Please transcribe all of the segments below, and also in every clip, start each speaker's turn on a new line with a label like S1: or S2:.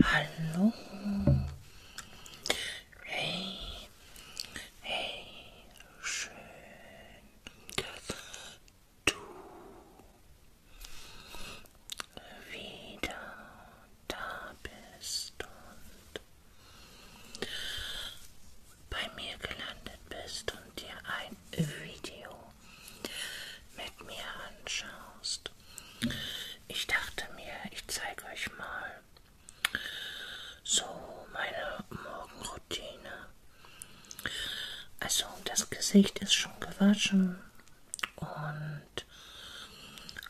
S1: Hallo. Hey. Hey. Schön, dass du wieder da bist und bei mir gelandet bist und dir ein Video mit mir anschaust. Ich dachte mir, ich zeige euch mal so meine Morgenroutine. Also das Gesicht ist schon gewaschen und und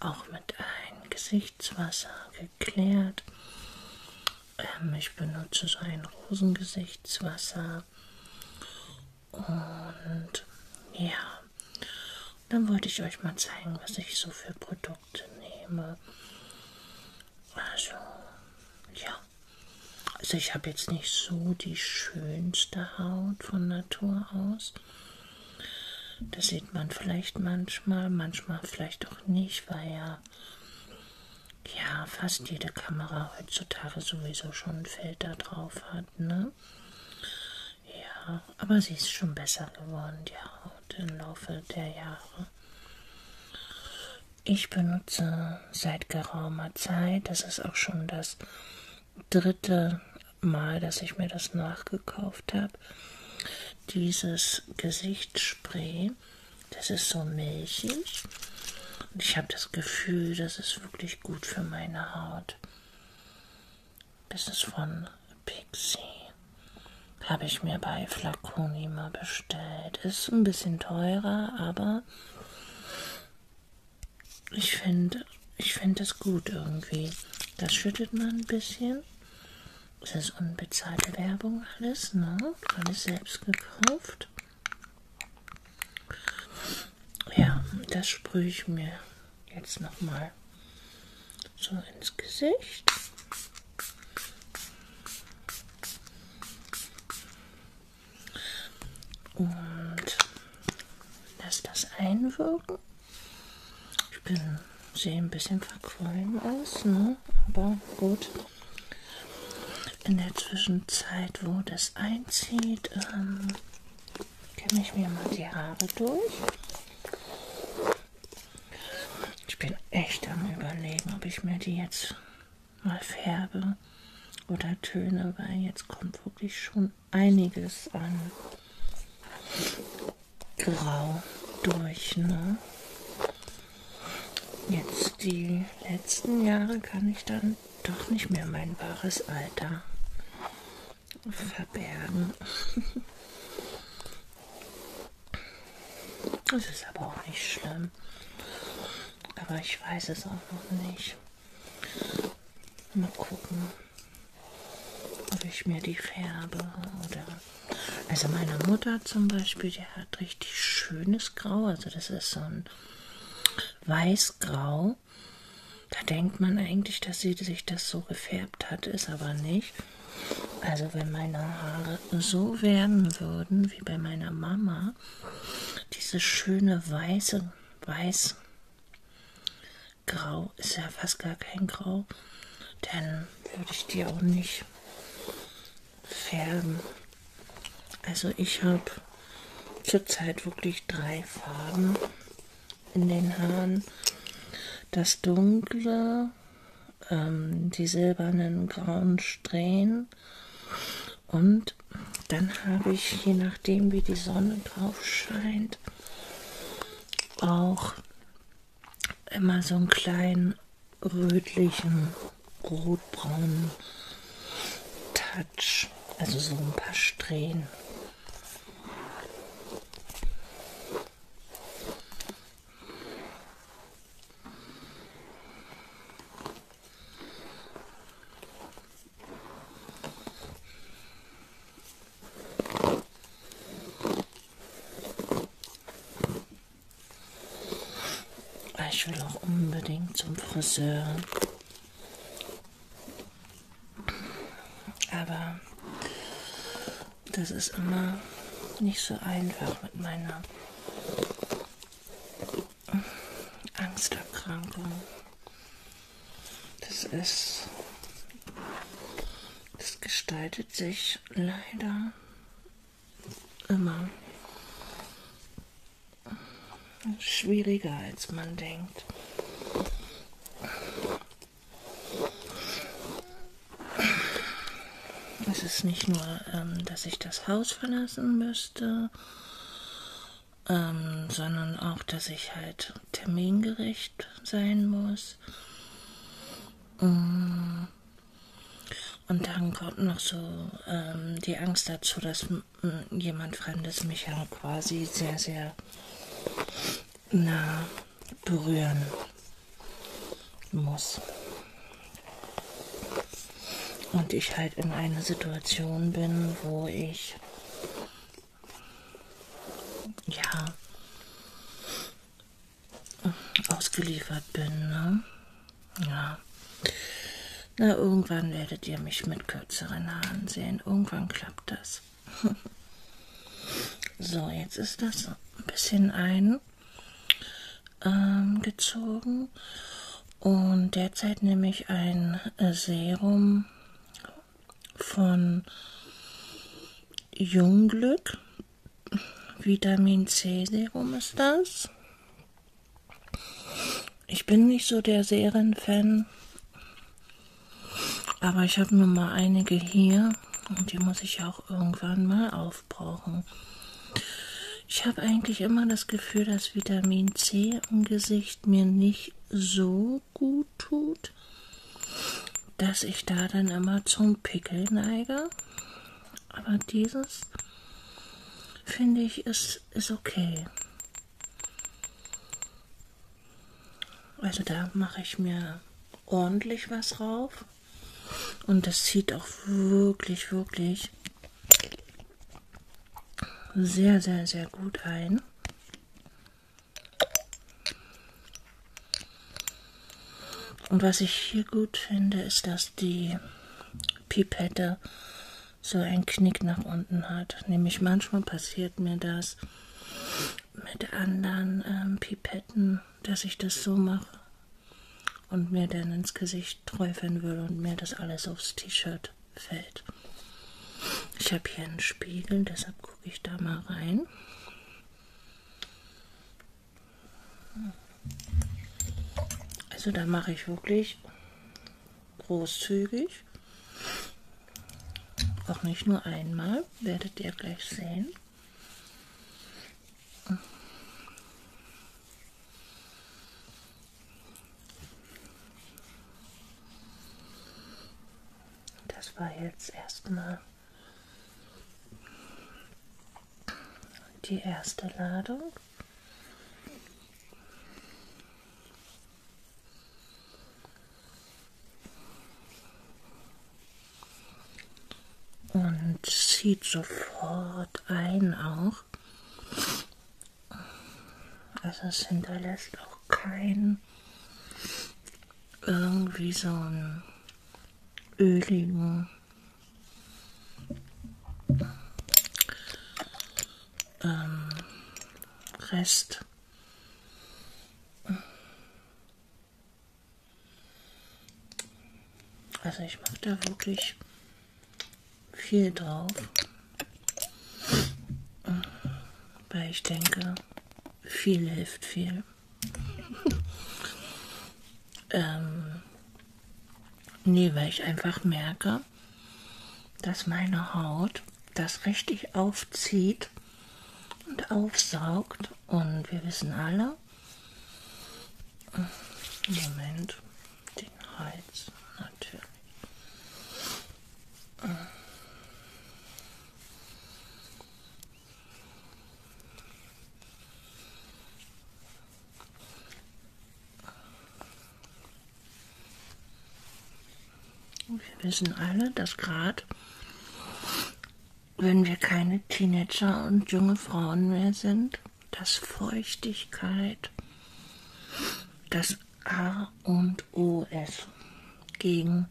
S1: auch mit einem Gesichtswasser geklärt. Ähm, ich benutze so ein Rosengesichtswasser und ja, dann wollte ich euch mal zeigen, was ich so für Produkte nehme. Also, ja. Also ich habe jetzt nicht so die schönste Haut von Natur aus. Das sieht man vielleicht manchmal, manchmal vielleicht auch nicht, weil ja, ja fast jede Kamera heutzutage sowieso schon einen Filter drauf hat, ne? Ja, aber sie ist schon besser geworden, die Haut im Laufe der Jahre. Ich benutze seit geraumer Zeit, das ist auch schon das dritte Mal, dass ich mir das nachgekauft habe. Dieses Gesichtsspray, das ist so milchig. Und ich habe das Gefühl, das ist wirklich gut für meine Haut. Das ist von Pixie. Habe ich mir bei Flaconi mal bestellt. Ist ein bisschen teurer, aber ich finde ich finde es gut irgendwie. Das schüttet man ein bisschen das ist unbezahlte Werbung alles, ne? Alles selbst gekauft. Ja, das sprühe ich mir jetzt nochmal so ins Gesicht. Und lass das einwirken. Ich bin, sehe ein bisschen verquollen aus, ne? aber gut. In der Zwischenzeit, wo das einzieht, ähm, kämme ich mir mal die Haare durch. Ich bin echt am überlegen, ob ich mir die jetzt mal färbe oder töne, weil jetzt kommt wirklich schon einiges an grau durch. Ne? Jetzt die letzten Jahre kann ich dann doch nicht mehr mein wahres Alter verbergen. Das ist aber auch nicht schlimm. Aber ich weiß es auch noch nicht. Mal gucken ob ich mir die färbe oder. Also meine Mutter zum Beispiel, die hat richtig schönes Grau, also das ist so ein Weißgrau. Da denkt man eigentlich, dass sie sich das so gefärbt hat, ist aber nicht. Also wenn meine Haare so werden würden wie bei meiner Mama, dieses schöne weiße, weiß Grau ist ja fast gar kein Grau. Dann würde ich die auch nicht färben. Also ich habe zurzeit wirklich drei Farben in den Haaren. Das dunkle, ähm, die silbernen grauen Strähnen und dann habe ich, je nachdem wie die Sonne drauf scheint, auch immer so einen kleinen rötlichen, rotbraunen Touch. Also so ein paar Strähnen. Ich will auch unbedingt zum Friseur. Aber das ist immer nicht so einfach mit meiner Angsterkrankung. Das ist das gestaltet sich leider immer schwieriger, als man denkt. Es ist nicht nur, ähm, dass ich das Haus verlassen müsste, ähm, sondern auch, dass ich halt termingerecht sein muss was. Äh, und dann kommt noch so ähm, die Angst dazu, dass jemand Fremdes mich ja quasi sehr, sehr nah berühren muss. Und ich halt in einer Situation bin, wo ich ja ausgeliefert bin, ne? Ja. Na, irgendwann werdet ihr mich mit kürzeren Haaren sehen. Irgendwann klappt das. so, jetzt ist das ein bisschen eingezogen. Ähm, Und derzeit nehme ich ein Serum von Jungglück. Vitamin C Serum ist das. Ich bin nicht so der Serienfan, aber ich habe nur mal einige hier und die muss ich auch irgendwann mal aufbrauchen. Ich habe eigentlich immer das Gefühl, dass Vitamin C im Gesicht mir nicht so gut tut, dass ich da dann immer zum Pickel neige. Aber dieses finde ich ist, ist okay. Also da mache ich mir ordentlich was rauf. Und das zieht auch wirklich, wirklich sehr, sehr, sehr gut ein. Und was ich hier gut finde, ist, dass die Pipette so einen Knick nach unten hat. Nämlich manchmal passiert mir das mit anderen ähm, Pipetten, dass ich das so mache und mir dann ins Gesicht träufeln würde und mir das alles aufs T-Shirt fällt. Ich habe hier einen Spiegel, deshalb gucke ich da mal rein. Also da mache ich wirklich großzügig. Auch nicht nur einmal, werdet ihr gleich sehen. Das war jetzt erstmal die erste Ladung. Und zieht sofort ein auch. Also es hinterlässt auch kein irgendwie so ein Öhlinger. Ähm, Rest. Also ich mache da wirklich viel drauf. Weil ich denke, viel hilft viel ähm, nee, weil ich einfach merke, dass meine Haut das richtig aufzieht und aufsaugt. Und wir wissen alle, Moment, den Hals natürlich. Wir wissen alle, dass gerade wenn wir keine Teenager und junge Frauen mehr sind, dass Feuchtigkeit das A und O ist gegen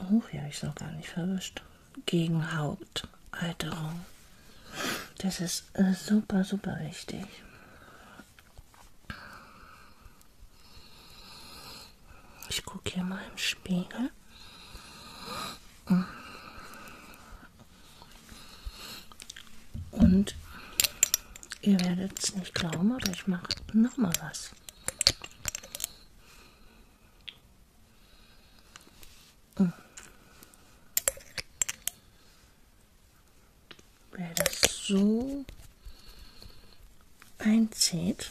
S1: Oh, hier habe ich es noch gar nicht verwischt. Gegen Hautalterung. Das ist äh, super, super wichtig. Ich gucke hier mal im Spiegel. Und ihr werdet es nicht glauben, aber ich mache nochmal was. Hm. Wer das so einzieht,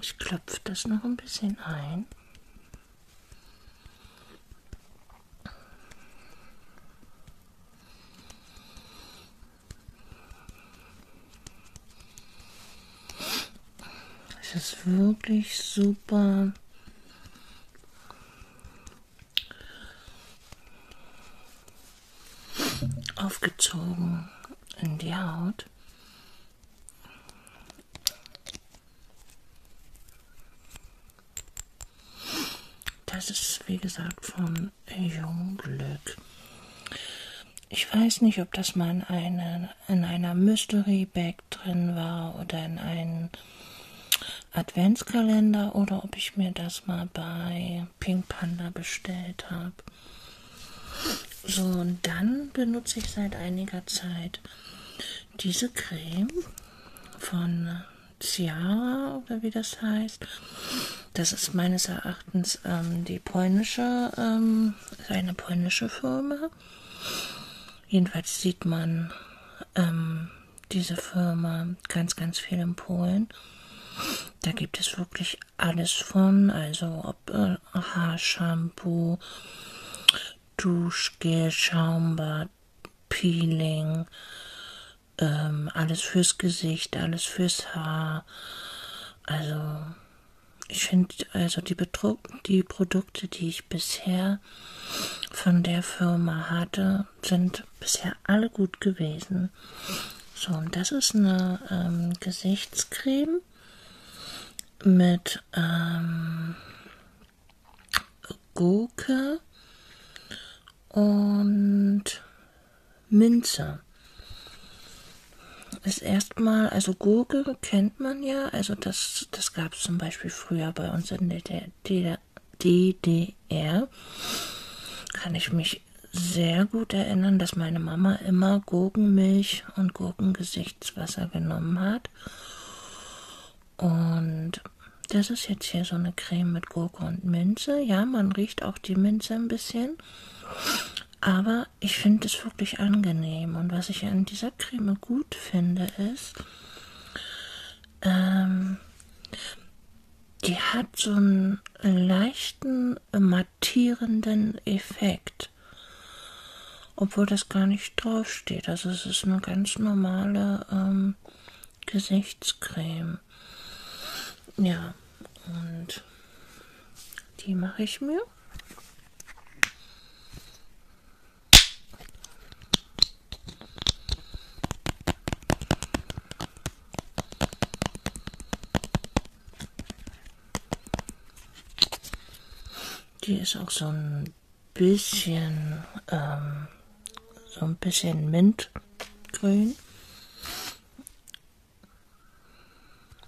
S1: Ich klopfe das noch ein bisschen ein. Es ist wirklich super aufgezogen in die Haut. Das ist, wie gesagt, von Jungglück. Ich weiß nicht, ob das mal in, eine, in einer Mystery Bag drin war oder in einem Adventskalender oder ob ich mir das mal bei bei Pink Panda bestellt habe. So, und dann benutze ich seit einiger Zeit diese Creme von Ciara oder wie das heißt. Das ist meines Erachtens ähm, die polnische, ähm, eine polnische Firma. Jedenfalls sieht man ähm, diese Firma ganz, ganz viel in Polen. Da gibt es wirklich alles von, also ob äh, Haarshampoo, Duschgel, Schaumbad, Peeling, ähm, alles fürs Gesicht, alles fürs Haar. Also ich finde, also die, Betru die Produkte, die ich bisher von der Firma hatte, sind bisher bisher alle gut gewesen. So, und das ist eine ähm, Gesichtscreme mit ähm, Gurke und Minze. Ist erstmal, also Gurke kennt man ja, also das, das gab es zum Beispiel früher bei uns in der DDR. Kann ich mich mich sehr gut erinnern, dass meine Mama immer Gurkenmilch und Gurkengesichtswasser genommen hat. Und das ist jetzt hier so eine Creme mit Gurke und Minze. Ja, man riecht auch die Minze ein bisschen. Aber ich finde es wirklich angenehm. Und was ich an dieser Creme gut finde, ist, ähm, die hat so einen leichten mattierenden Effekt. Obwohl das gar nicht draufsteht. Also es ist eine ganz normale ähm, Gesichtscreme. Ja, und die mache ich mir. Die ist auch so ein bisschen, ähm, so ein bisschen mintgrün.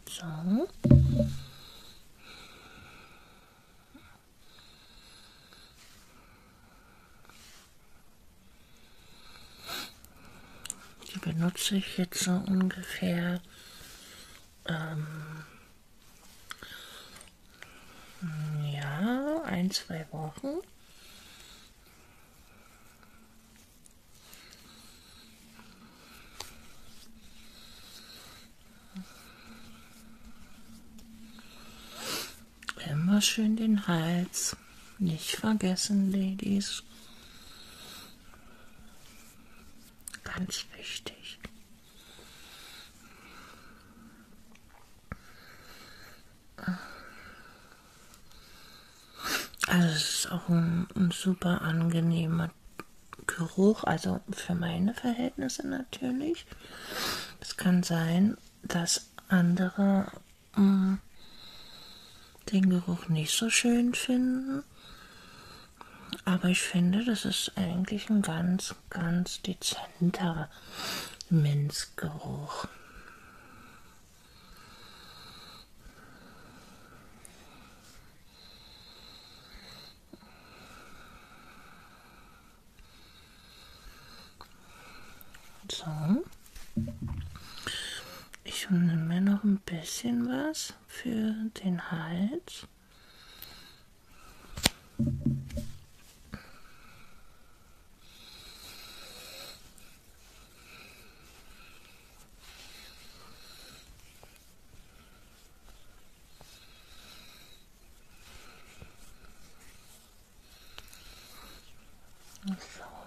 S1: So. Die benutze ich jetzt so ungefähr ähm, ja, ein, zwei Wochen. Immer schön den Hals nicht vergessen, Ladies. Ganz wichtig. Also es ist auch ein, ein super angenehmer Geruch, also für meine Verhältnisse natürlich. Es kann sein, dass andere Ah. den Geruch nicht so schön finden. Aber ich finde, das ist eigentlich ein ganz, ganz dezenter Minzgeruch. So. Ich nehme mir noch ein bisschen was für den Hals. So.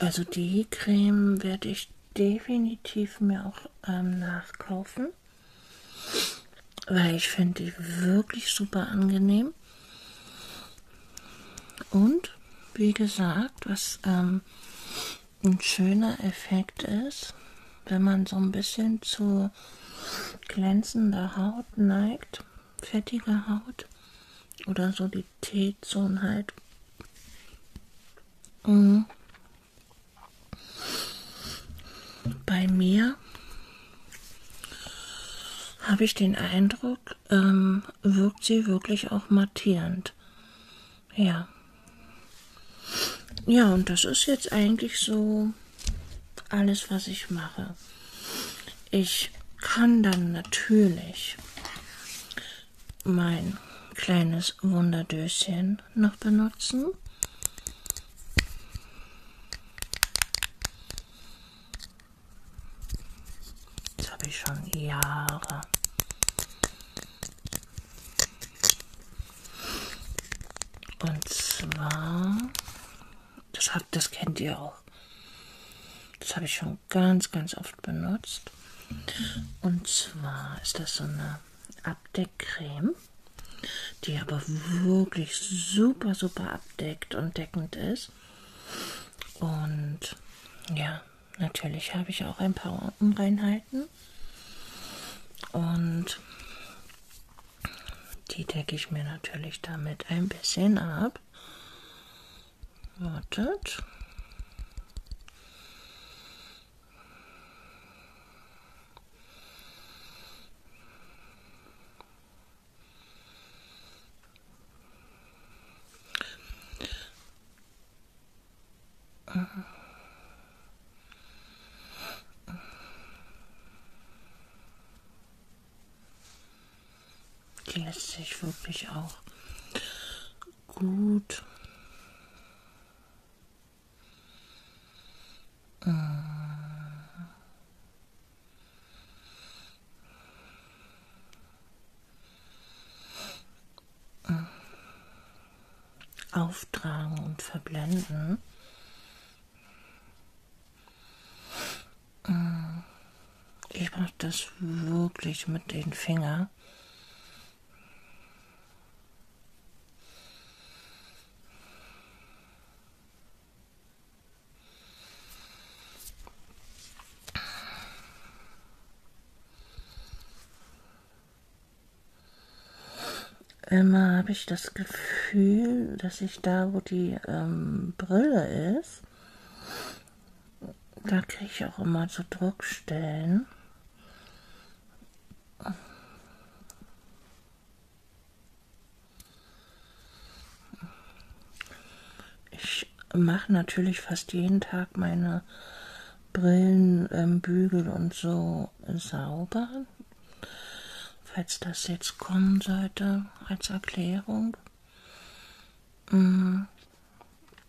S1: Also die Creme werde ich definitiv mir auch ähm, nachkaufen, weil ich finde die wirklich super angenehm. Und wie gesagt, was ähm, ein schöner Effekt ist, wenn man so ein bisschen zu glänzender Haut neigt, fettiger Haut oder so die Qualitätszone halt. Mhm. Bei mir habe ich den Eindruck, ähm, wirkt sie wirklich auch mattierend. Ja. Ja, und das ist jetzt eigentlich so alles, was ich mache. Ich kann dann natürlich mein kleines Wunderdöschen noch benutzen. Das habe ich schon Jahre. Und zwar, das, habt, das kennt ihr auch. Das habe ich schon schon ganz, ganz oft benutzt. Und zwar ist das so eine Abdeckcreme, die aber wirklich super, super abdeckt und deckend ist. Und ja, natürlich habe ich auch ein paar Unreinheiten. Und die decke ich mir natürlich damit ein bisschen ab. Wartet. Die lässt sich wirklich auch gut. Äh. Auftragen und verblenden. Äh. Ich mache das wirklich mit den Fingern. Immer habe ich das Gefühl, dass ich da, wo die ähm, Brille ist, da kriege ich auch immer so Druckstellen. Ich mache natürlich fast jeden Tag meine Brillenbügel ähm, und so sauber, falls das jetzt kommen sollte als Erklärung. Mhm.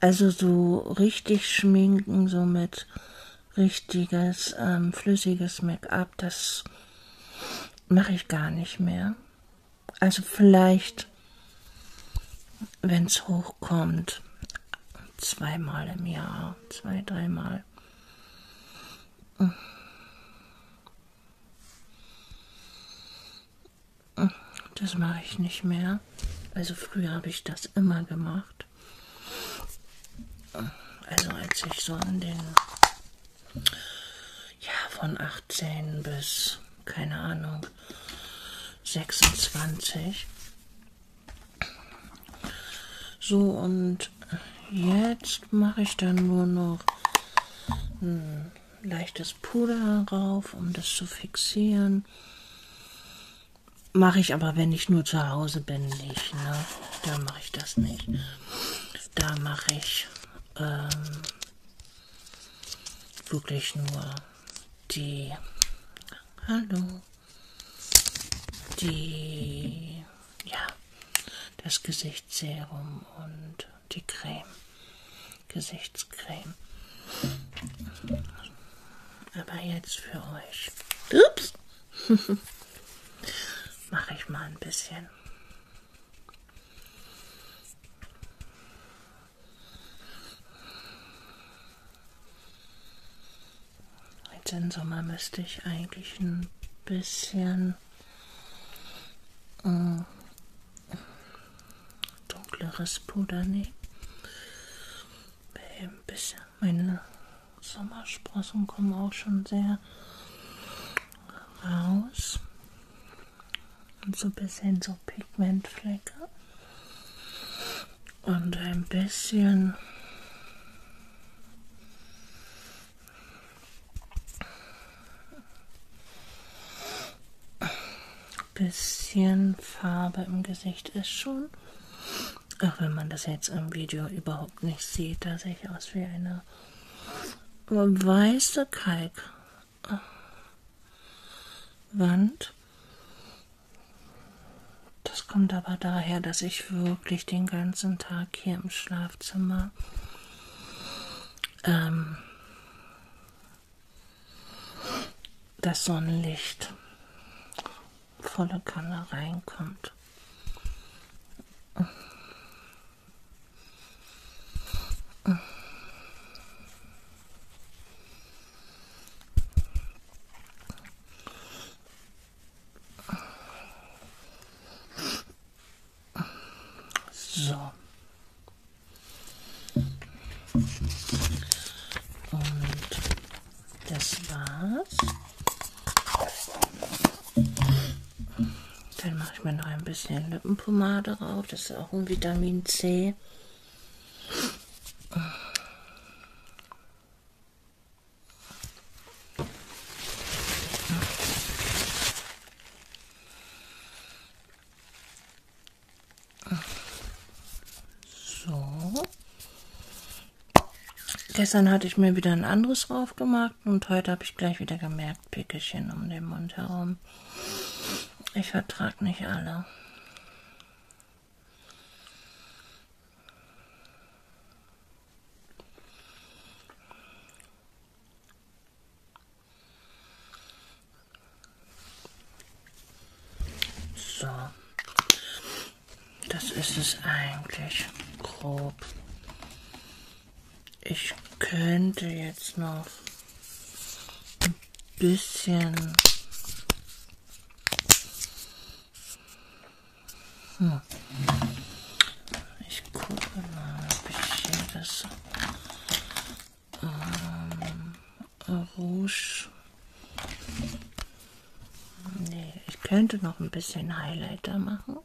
S1: Also so richtig schminken, so mit richtiges, ähm, flüssiges Make-up, das mache ich gar nicht mehr. Also vielleicht, wenn es hochkommt, zweimal im Jahr, zwei, dreimal. Das mache ich nicht mehr ja. Also früher habe ich das immer gemacht. Also als ich so in den, ja, von 18 bis, keine Ahnung, 26. So, und jetzt mache ich dann nur noch ein leichtes Puder rauf, um das zu fixieren. Mache ich aber, wenn ich nur zu Hause bin, nicht. Ne? Da mache ich das nicht. Da mache ich ähm, wirklich nur die. Hallo. Die. Ja. Das Gesichtsserum und die Creme. Gesichtscreme. Aber jetzt für euch. Ups. Mache ich mal ein bisschen. Jetzt im Sommer müsste ich eigentlich ein bisschen äh, dunkleres Puder nehmen. Äh, ein bisschen. Meine Sommersprossen kommen auch schon sehr raus. Und so ein bisschen so Pigmentflecke. Und ein bisschen bisschen Farbe im Gesicht ist schon. Auch wenn man das jetzt im Video überhaupt nicht sieht, da sehe ich aus wie eine weiße Kalkwand. Das kommt aber daher, dass ich wirklich den ganzen Tag hier im Schlafzimmer ähm, das Sonnenlicht volle Kanne reinkommt. So. Und das war's. Dann mache ich mir noch ein bisschen Lippenpomade drauf. Das ist auch ein Vitamin C. So. Gestern hatte ich mir wieder ein anderes drauf gemacht und heute habe ich gleich wieder gemerkt, Pickelchen um den Mund herum. Ich vertrage nicht alle. So. Das ist es eigentlich grob. Ich könnte jetzt noch ein bisschen hm. Ich gucke mal, ob ich hier das ähm, Rouge Nee, ich könnte noch ein bisschen Highlighter machen.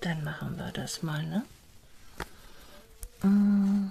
S1: Dann machen wir das mal, ne? Mm.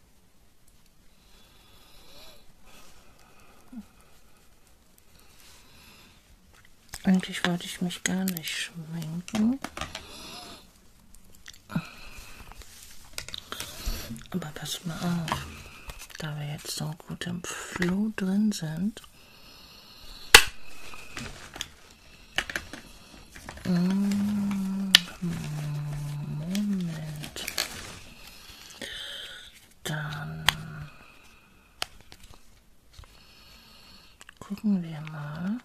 S1: Eigentlich wollte ich mich gar nicht schminken. Aber pass mal auf, da wir jetzt so gut im Flow drin sind, mm, Moment. Dann gucken wir mal.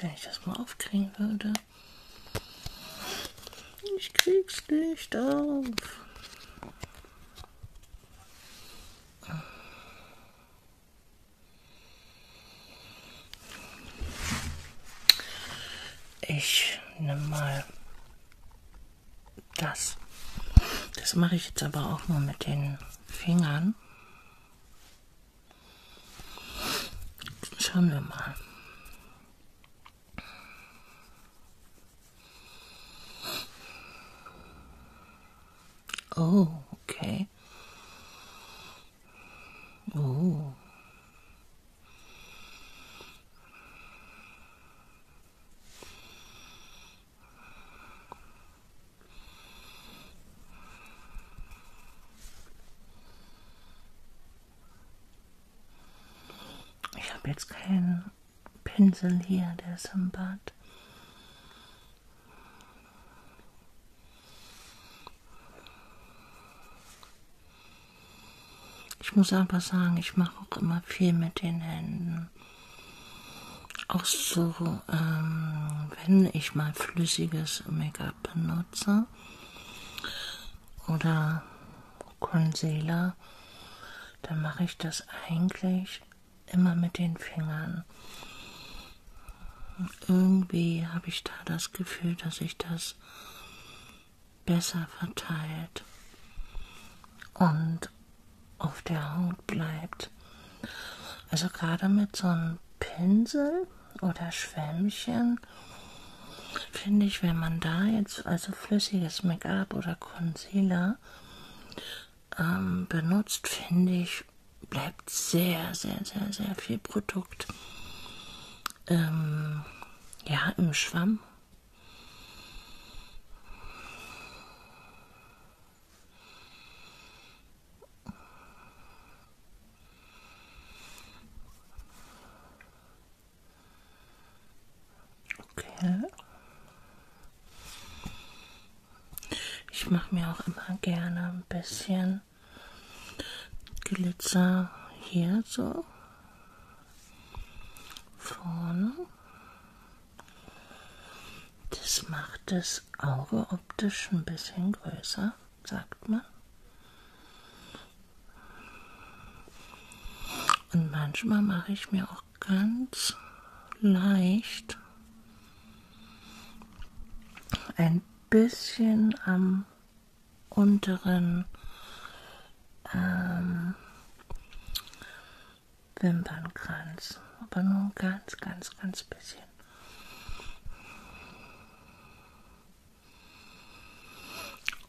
S1: Wenn ich das mal aufkriegen würde. Ich krieg's nicht auf. Ich nehme mal das. Das mache ich jetzt aber auch nur mit den Fingern. Schauen wir mal. Oh, okay. Oh. Ich habe jetzt keinen Pinsel hier, der ist im Bad. Ich muss aber sagen, ich mache auch immer viel mit den Händen. Auch so, ähm, wenn ich mal flüssiges Make-up benutze oder Concealer, dann mache ich das eigentlich immer mit den Fingern. Irgendwie habe ich da das Gefühl, dass sich das besser verteilt und auf der Haut bleibt. Also gerade mit so einem Pinsel oder Schwämmchen finde ich, wenn man da jetzt also flüssiges Make-up oder Concealer ähm, benutzt, finde ich, bleibt sehr, sehr, sehr, sehr viel Produkt ähm, ja, im Schwamm. Okay. Ich mache mir auch immer gerne ein bisschen Glitzer hier so vorne. Das macht das Auge optisch ein bisschen größer, sagt man. Und manchmal mache ich mir auch ganz leicht ein bisschen am unteren ähm, Wimpernkranz, aber nur ganz, ganz, ganz bisschen.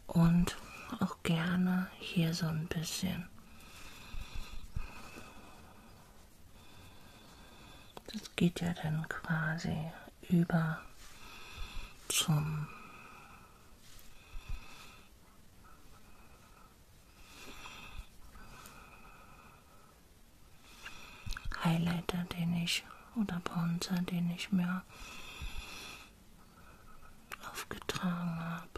S1: Und auch gerne hier so ein bisschen. Das geht ja dann quasi über zum Highlighter, den ich oder Bronzer, den ich mir aufgetragen habe.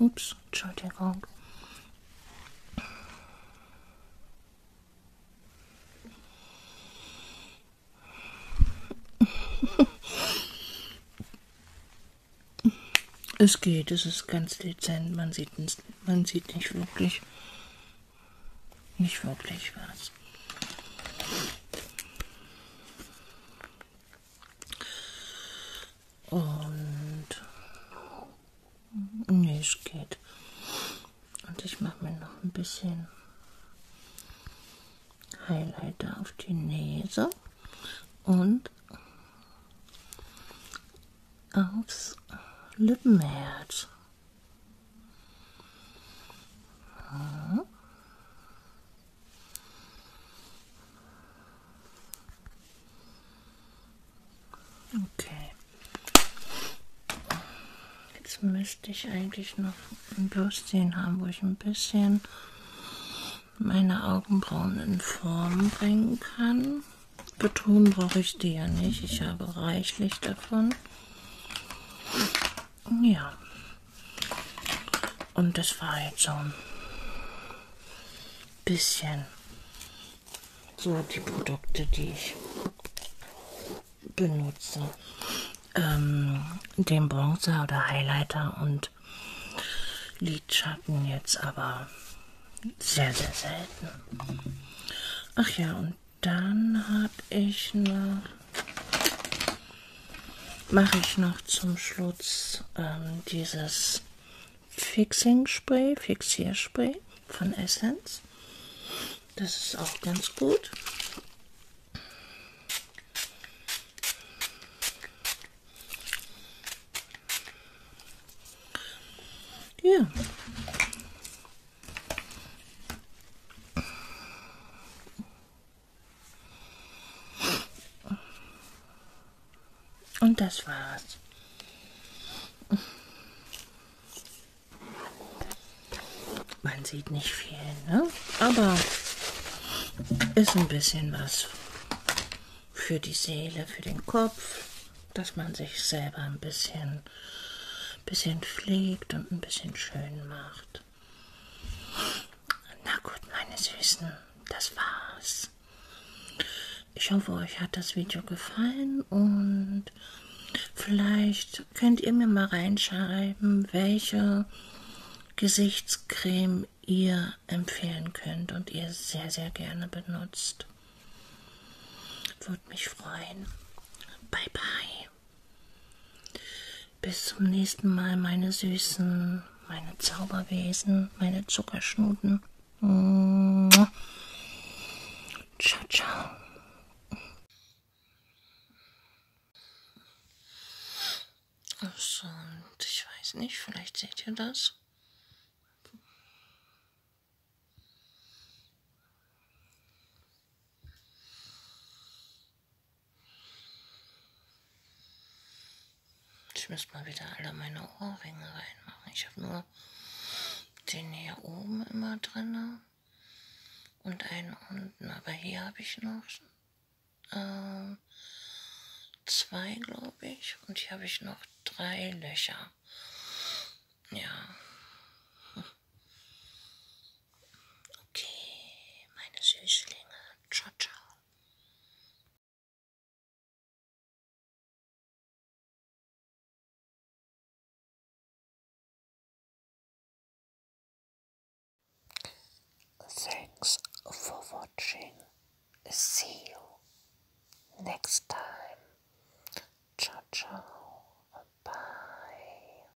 S1: Ups, Entschuldigung. Es geht, es ist ganz dezent, man sieht, man sieht nicht wirklich. Nicht wirklich was. Und nee, es geht. Und ich mache mir noch ein bisschen Highlighter auf die Nase und aufs Lippenherz. Okay. Jetzt müsste ich eigentlich noch ein Bürstchen haben, wo ich ein bisschen meine Augenbrauen in Form bringen kann. Betonen brauche ich die ja nicht. Ich habe reichlich davon. Ja. Und das war jetzt so ein bisschen so die Produkte, die ich benutze. Ähm, den Bronzer oder Highlighter und Lidschatten jetzt aber sehr, sehr selten. Ach ja, und dann habe ich noch, mache ich noch zum Schluss ähm, dieses Fixing Spray, Fixierspray von Essence. Das ist auch ganz gut. Ja, und das war's. Man sieht nicht viel, ne? Aber ist ein bisschen was für die Seele, für den Kopf, dass man sich selber ein bisschen, bisschen pflegt und ein bisschen schön macht. Luft. Na gut, meine Süßen, das war's. Ich hoffe, euch hat das Video gefallen und vielleicht könnt ihr mir mal reinschreiben, welche Gesichtscreme ihr empfehlen könnt und ihr sehr, sehr gerne benutzt. Würde mich freuen. Bye, bye. Bis zum nächsten Mal, meine Süßen, meine Zauberwesen, meine Zuckerschnuten. Ciao, ciao. So, und ich weiß nicht, vielleicht seht ihr das. Ich müsste mal wieder alle meine Ohrringe reinmachen. Ich habe nur den hier oben immer drin und einen unten. Aber hier habe ich noch äh, zwei, glaube ich. Und hier habe ich noch drei Löcher. Ja. Okay, meine Süßlinge. Ciao, ciao. Thanks for watching. See you next time. Ciao, ciao. Bye.